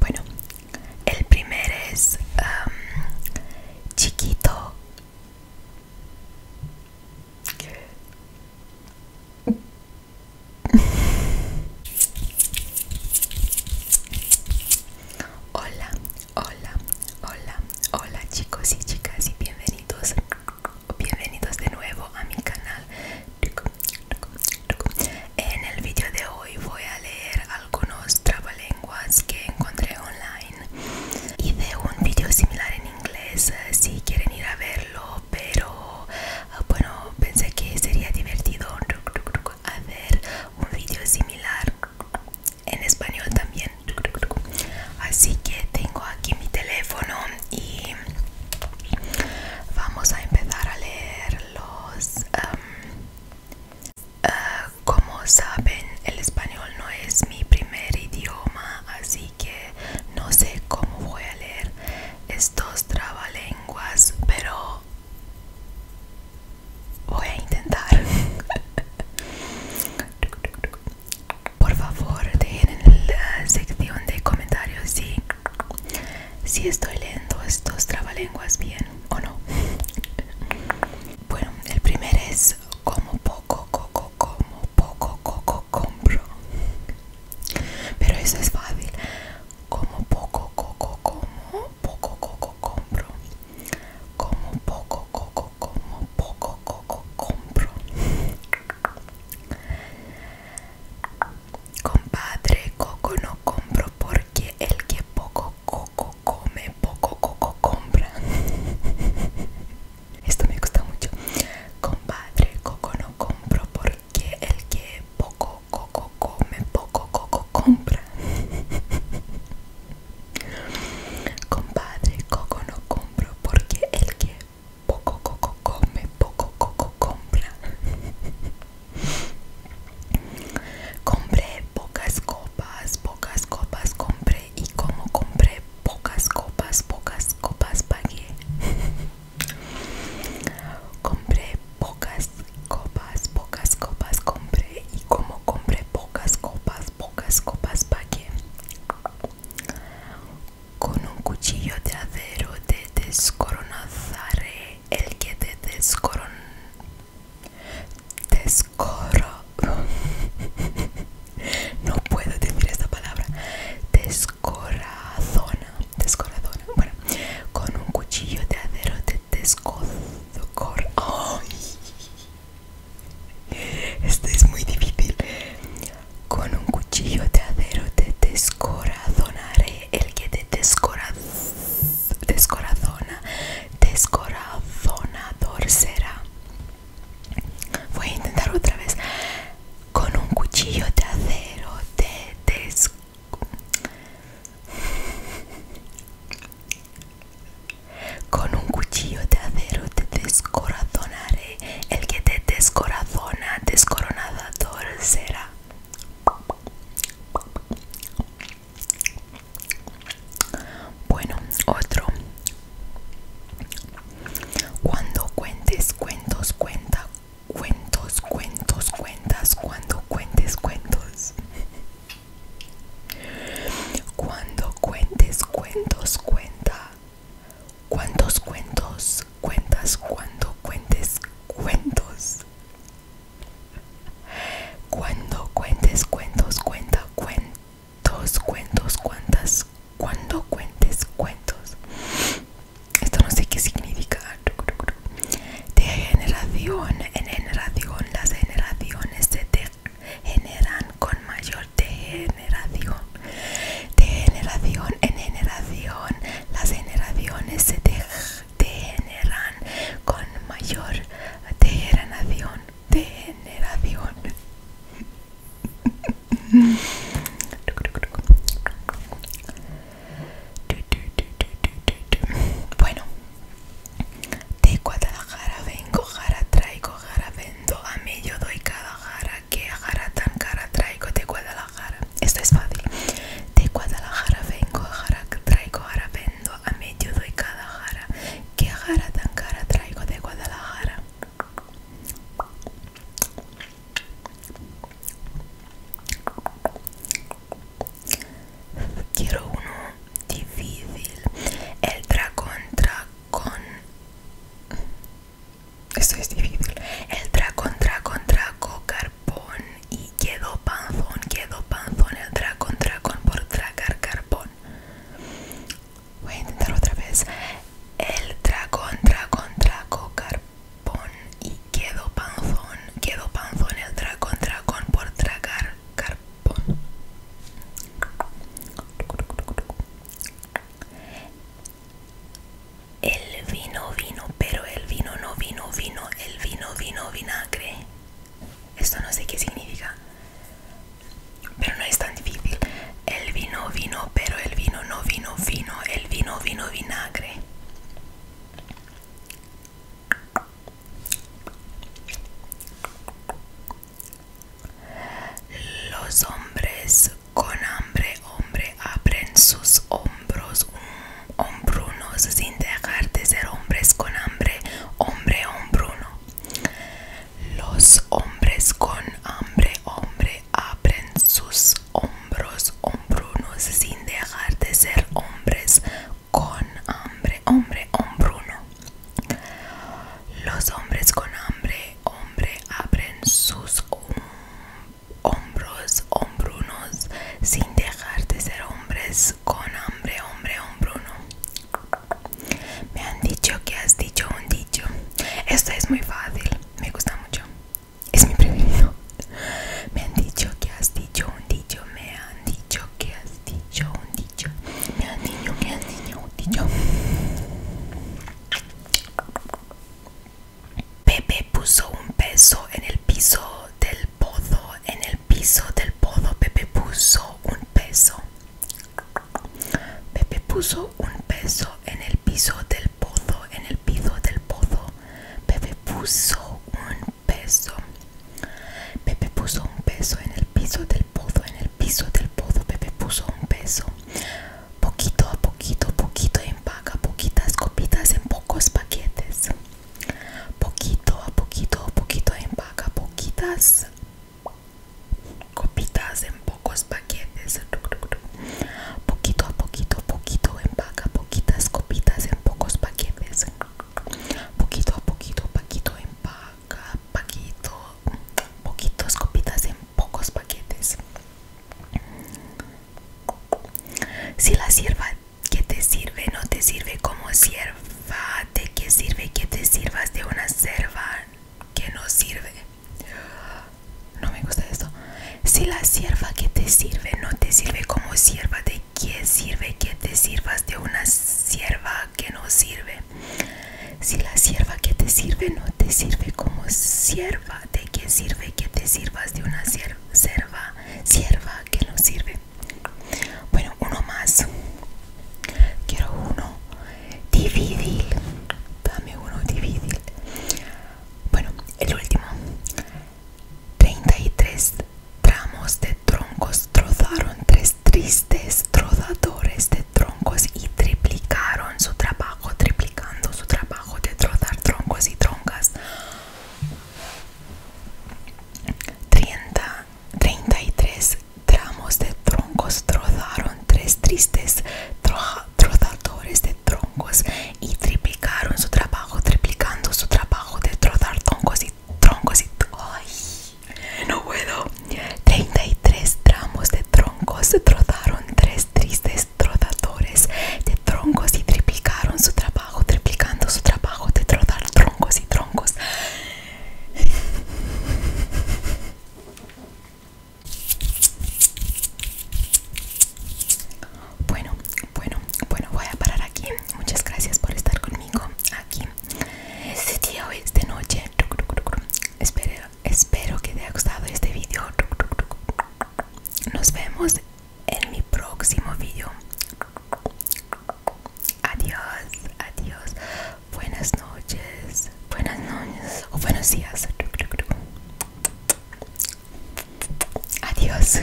Bueno, el primer es chiquito. Hola, hola, hola, hola chicos y chicas y bienvenidos, bienvenidos de nuevo a mi canal. En el vídeo de hoy voy a leer algunos trabalenguas que encontré online. Hice un vídeo similar en inglés eh, si quieren ir a verlo, pero ah, bueno, pensé que sería divertido hacer un vídeo similar en español también. Así que tengo aquí mi teléfono y vamos a empezar a leer los ah, como saben el español no es mi primer idioma así que no sé cómo voy a leer estos trabalenguas pero voy a intentar por favor dejen en la sección de comentarios si si estoy leyendo estos trabalenguas bien o no. Bueno, el primer es como poco, coco, como poco, coco, compro. Pero eso es fácil. Como poco, coco, como poco, coco, compro. Como poco, coco, como poco, coco, compro. Compadre, coco no compro porque el que poco coco come, poco coco compra. Esto me gusta mucho. Compadre, coco no compro porque el que poco coco come, poco coco compra. Compadre, coco no compro porque el que poco coco come, poco coco compra. compré pocas copas, pocas copas compré y como compré pocas copas, pocas copas pagué. compré pocas copas, pocas copas compré y como compré pocas copas, pocas copas pagué. Con un cuchillo de acero te descoronazaré el que te descoron... Descoro... no puedo decir esta palabra. Descorazona. Descorazona. Bueno, con un cuchillo de acero te descor... ¡Ay! Este es muy difícil. Con un cuchillo de acero te descorazonaré. El que te descorazona, descorazonador será. Voy a intentar otra vez. Con un cuchillo de acero te Con un cuchillo de acero te descorazonaré el que te descorazona, descoronada será. Bueno, otro. Cuando cuentes cuentos, cuenta cuentos, cuentos, cuentas, cuando cuentes cuentos. Cuando cuentes cuentos, cuenta ¿Cuántos cuentos cuentas cuando cuentes cuentos? Cuando cuentes cuentos, cuenta cuentos, cuentos, cuentas, cuando cuentes cuentos. Esto no sé qué significa. De generación en generación, las generaciones se generan con mayor degeneración. De generación en generación, las generaciones se degeneran con mayor degeneración. generación. Bueno, de Guadalajara vengo, jara traigo, jara vendo, a mí yo doy cada jara qué jara tan cara traigo de Guadalajara. Esto es fácil. De Guadalajara vengo, jara traigo, ahora vendo, a medio de cada jara. Qué tan cara traigo de Guadalajara. Quiero uno difícil. El contra con. Esto es difícil. El tra contra contra carbón. Y quedó panzón, quedó panzón. El dragón, con por tragar carpón Voy a intentar otra vez. El dragón, contra contra carbón. Y quedó panzón, quedó panzón. El dragón, con por tragar carbón. El vino vino, pero el vino no vino vino, el vino vino vinagre. Esto no sé qué significa, pero no es tan difícil. El vino vino, pero el vino no vino vino, el vino vino vinagre. Los hombres con hambre, hombre, abren sus hombros hombrunos sin dejar de ser hombres con hambre, hombre, hombruno. Los hombres con hambre, hombre, abren sus hombros hombrunos sin dejar de ser hombres con hambre, hombre, hombruno. Los hombres con hambre hombre abren sus hombros hombrunos sin dejar de ser hombres con hambre hombre hombruno me han dicho que has dicho un dicho esto es muy fácil me gusta mucho es mi preferido me han dicho que has dicho un dicho me han dicho que has dicho un dicho me han dicho que has dicho un dicho Pepe puso un peso en el piso del pozo. En el piso del pozo Pepe puso un peso. Pepe puso un peso en el piso del pozo. En el piso del pozo Pepe puso un peso. Pepe puso un peso en el piso del pozo. En el piso del pozo bebé puso un peso. Poquito a poquito, poquito empaca poquitas copitas en pocos paquetes. Poquito a poquito, poquito empaca poquitas copitas en pocos paquetes. Poquito a poquito, poquito empaca poquitas copitas en pocos paquetes. Poquito a poquito, poquito, en paquito poquitos copitas en pocos paquetes. Si la sierva que te sirve no te sirve como sierva, ¿de qué sirve que te sirvas de una sierva que no sirve? No me gusta esto. Si la sierva que te sirve no te sirve como sierva, ¿de qué sirve que te sirvas de una sierva que no sirve? Si la sierva que te sirve no te sirve como sierva, ¿de qué sirve que te sirvas de una sierva, sierva que no sirve? Bueno, uno más. Quiero uno. dividil, Dame uno, dividil Bueno, el último. 33 tramos de troncos trozaron tres, tristes trozadores de troncos y triplicaron su trabajo, triplicando su trabajo de trozar troncos y troncas. 30, 33 tramos de troncos trozaron tres tristes trozadores de troncos y triplicaron su trabajo, triplicando su trabajo de trozar troncos y troncos y... No puedo. 33 tramos de troncos trotaron tres tristes trotadores de troncos y triplicaron su trabajo, triplicando su trabajo de trotar troncos y troncos. Bueno, bueno, bueno, voy a parar aquí. Muchas gracias por estar conmigo aquí este día o de noche espero, espero que te haya gustado este vídeo nos vemos en mi próximo vídeo adiós adiós buenas noches buenas noches o buenos días adiós